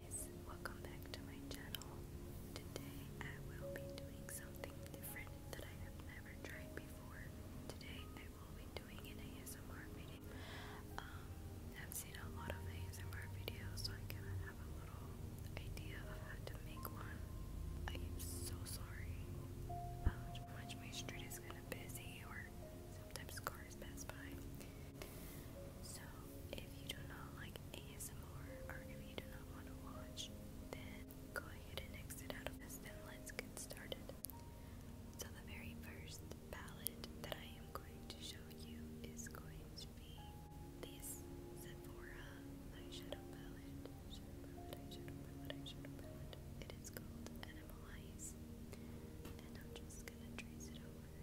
guys, welcome back to my channel. Today I will be doing something different that I have never tried before. Today I will be doing an ASMR video. Um, I've seen a lot of ASMR videos, so I kind of have a little idea of how to make one. I am so sorry about how much my street is kind of busy or sometimes cars pass by. So, if you do not like ASMR or if you do not want to watch, then go ahead and exit out of this, then let's get started. So, the very first palette that I am going to show you is going to be this Sephora eyeshadow palette. It is called Animalize. And I'm just gonna trace it over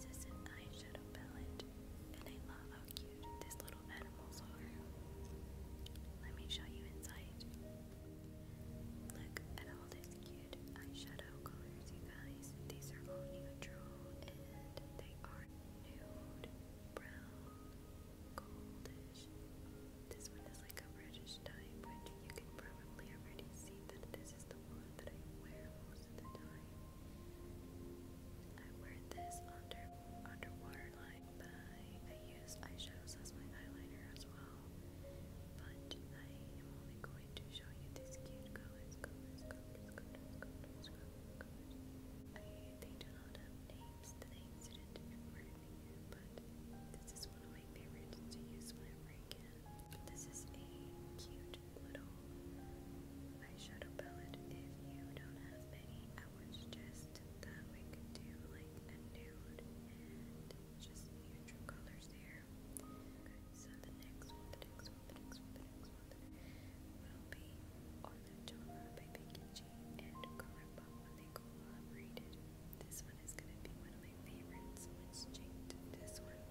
This is an eyeshadow palette, and I love how cute these little animals are. Let me show you inside. Look at all these cute eyeshadow colors, you guys. These are all neutral, and they are nude, brown, goldish. This one is like a reddish type, you can probably already see that this is the one that I wear most most I wear this under underwater line, I, use eyeshadows as my eyeliner as well. But I am only going to show you these cute colors, they do not have names that I incident in front but this is one of my favorites to use whenever I can this is a cute little eyeshadow palette. If you don't have many, I would suggest that we could do like a nude just neutral colors there. so the next the next the next the next one, will be on by Becky G and Colourpop when they collaborated. This one is gonna be one my favorite, so it's changed to this one.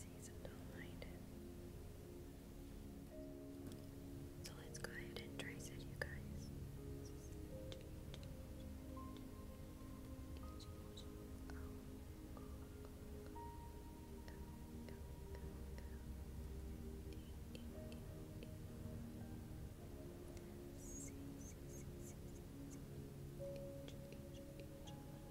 Seasonal minded. So let's go ahead and trace it, you guys.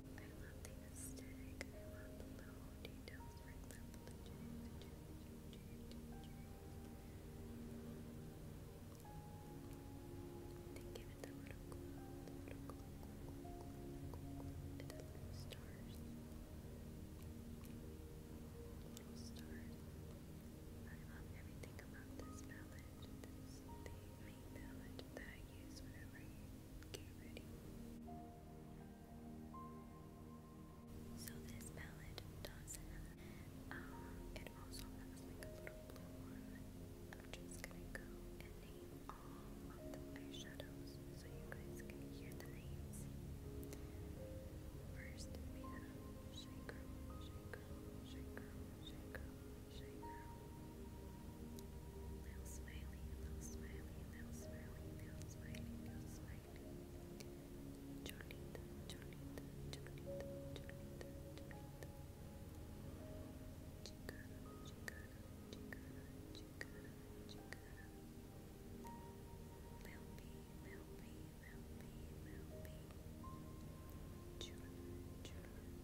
I love the aesthetic. I love the little details They give it the little the little little stars. I love everything about this palette. the main palette I you So this palette does have, um, it also has a little blue one. I'm just gonna go and name all the eyeshadows so you guys can hear the names. First we have Shake Girl, Shaker. Little smiley, little smiley, little smiley, little smiley, little smiley. Jolita, Jolita, Jolita, Jolita, Jolita. Chicana, Chicana, Chicana, Chicana, Chicana. Lil B, Lil B, Lil B, Lil B. Chula, Chula,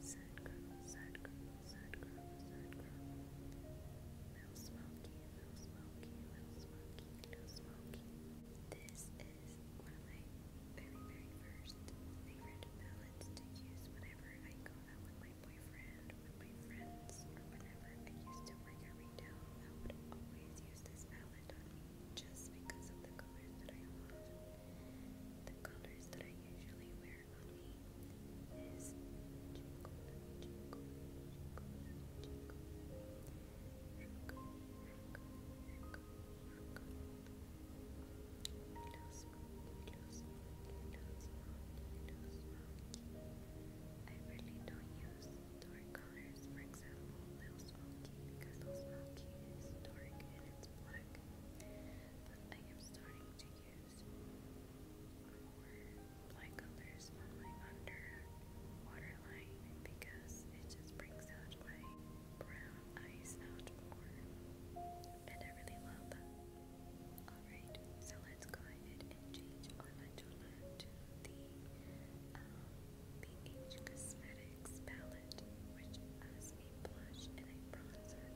Sad girl, This is my very, very first favorite ballads to use whenever I go with my boyfriend, with my friends, or whenever I used to work at retail. I would always use this ballad just because of the colors that I love. The colors that I usually wear is Jingle, I really don't use dark colors, for example, Little Smoky, because Little Smoky is dark and it's black. But I am starting to use for light colors on my under waterline because it just brings out my brown eyes out more and I really love that. Alright, so let's go ahead and change Ola Jola to the um, BH Cosmetics palette which has a blush and a bronzer.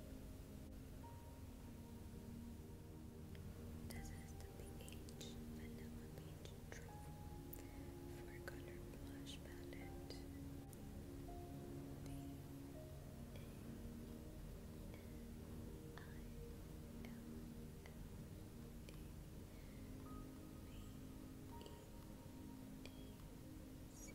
This is the BH Vanilla Beach Truffle Color Blush Palette. B A N I L L A V E A C. -E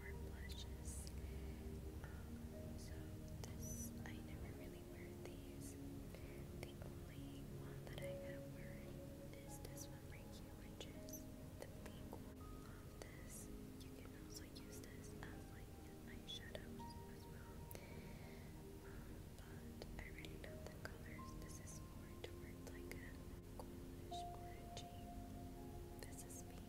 for blushes. so I never really wear these. The only one that I have worn is this one right here, which is the pink one. Love this. You can also use this as like eyeshadows as well. Um, but I really love the colors. This is more towards like a goldish orangey. This is me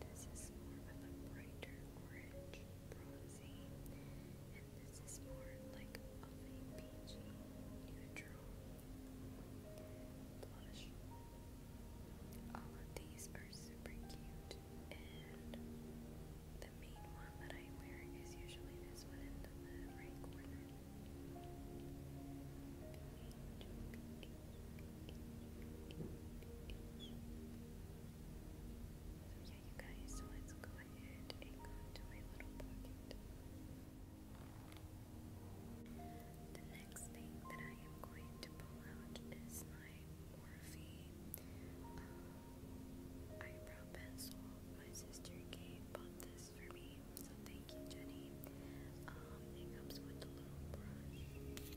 this is more of a brighter orange, bronzy, and this is more like of a peachy neutral blush. All of these are super cute, and the main one that I wear is usually this one in the right corner. So yeah, you guys, so let's go ahead and go into my little pocket. The next thing that I am going to pull out is my Morphe eyebrow pencil. My sister Kate this for me, so thank you, Jenny. Um, um, it comes with a little brush. It comes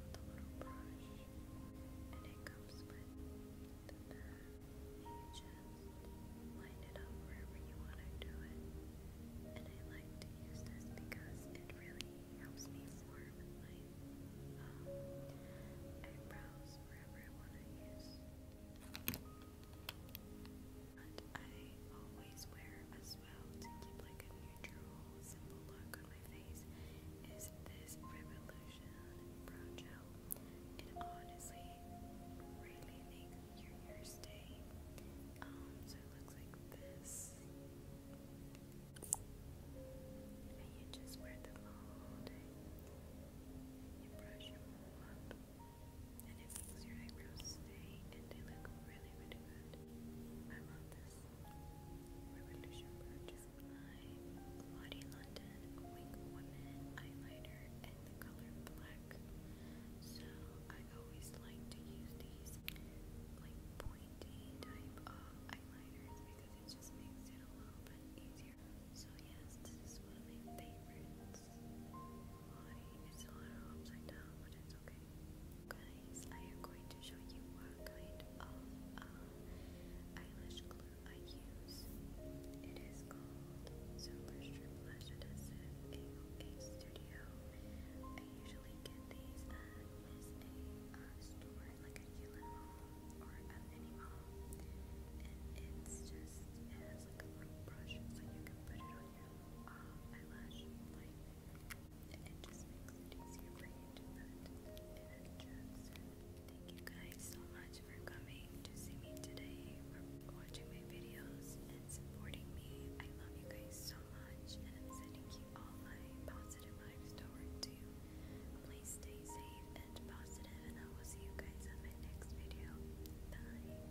with a little brush. And it comes with You just line it up wherever you want to do it. And I like to use this because it really helps me form my um, eyebrows wherever I want to use. And I always wear a to keep like a neutral simple look on my face is this Revolution Brow Gel. It honestly really makes your hair stay. Um, so it looks like this. And you just wear them all day. You brush them up. And it makes your eyebrows stay and they look really, really Lottie London Wink Eyeliner in the color black. So I always like to use these like pointy type eyeliners because it just makes it a little bit easier. So yes, this is one of my favorites. It's Guys, I am going to show you what kind of uh, eyelash glue I use. It is called Super Strip Lash Adhesive AOA Studio. I usually get these at A uh, store, like a Gillette Mall or at any mall. And it's just, it has like a little brush so you can put it on your uh, eyelash thank you guys so much for coming to see me today, for watching my videos, and supporting me. I love you guys so much, and I'm sending you all my positive vibes toward you. Please stay safe and positive, and I will see you guys on my next video. Bye.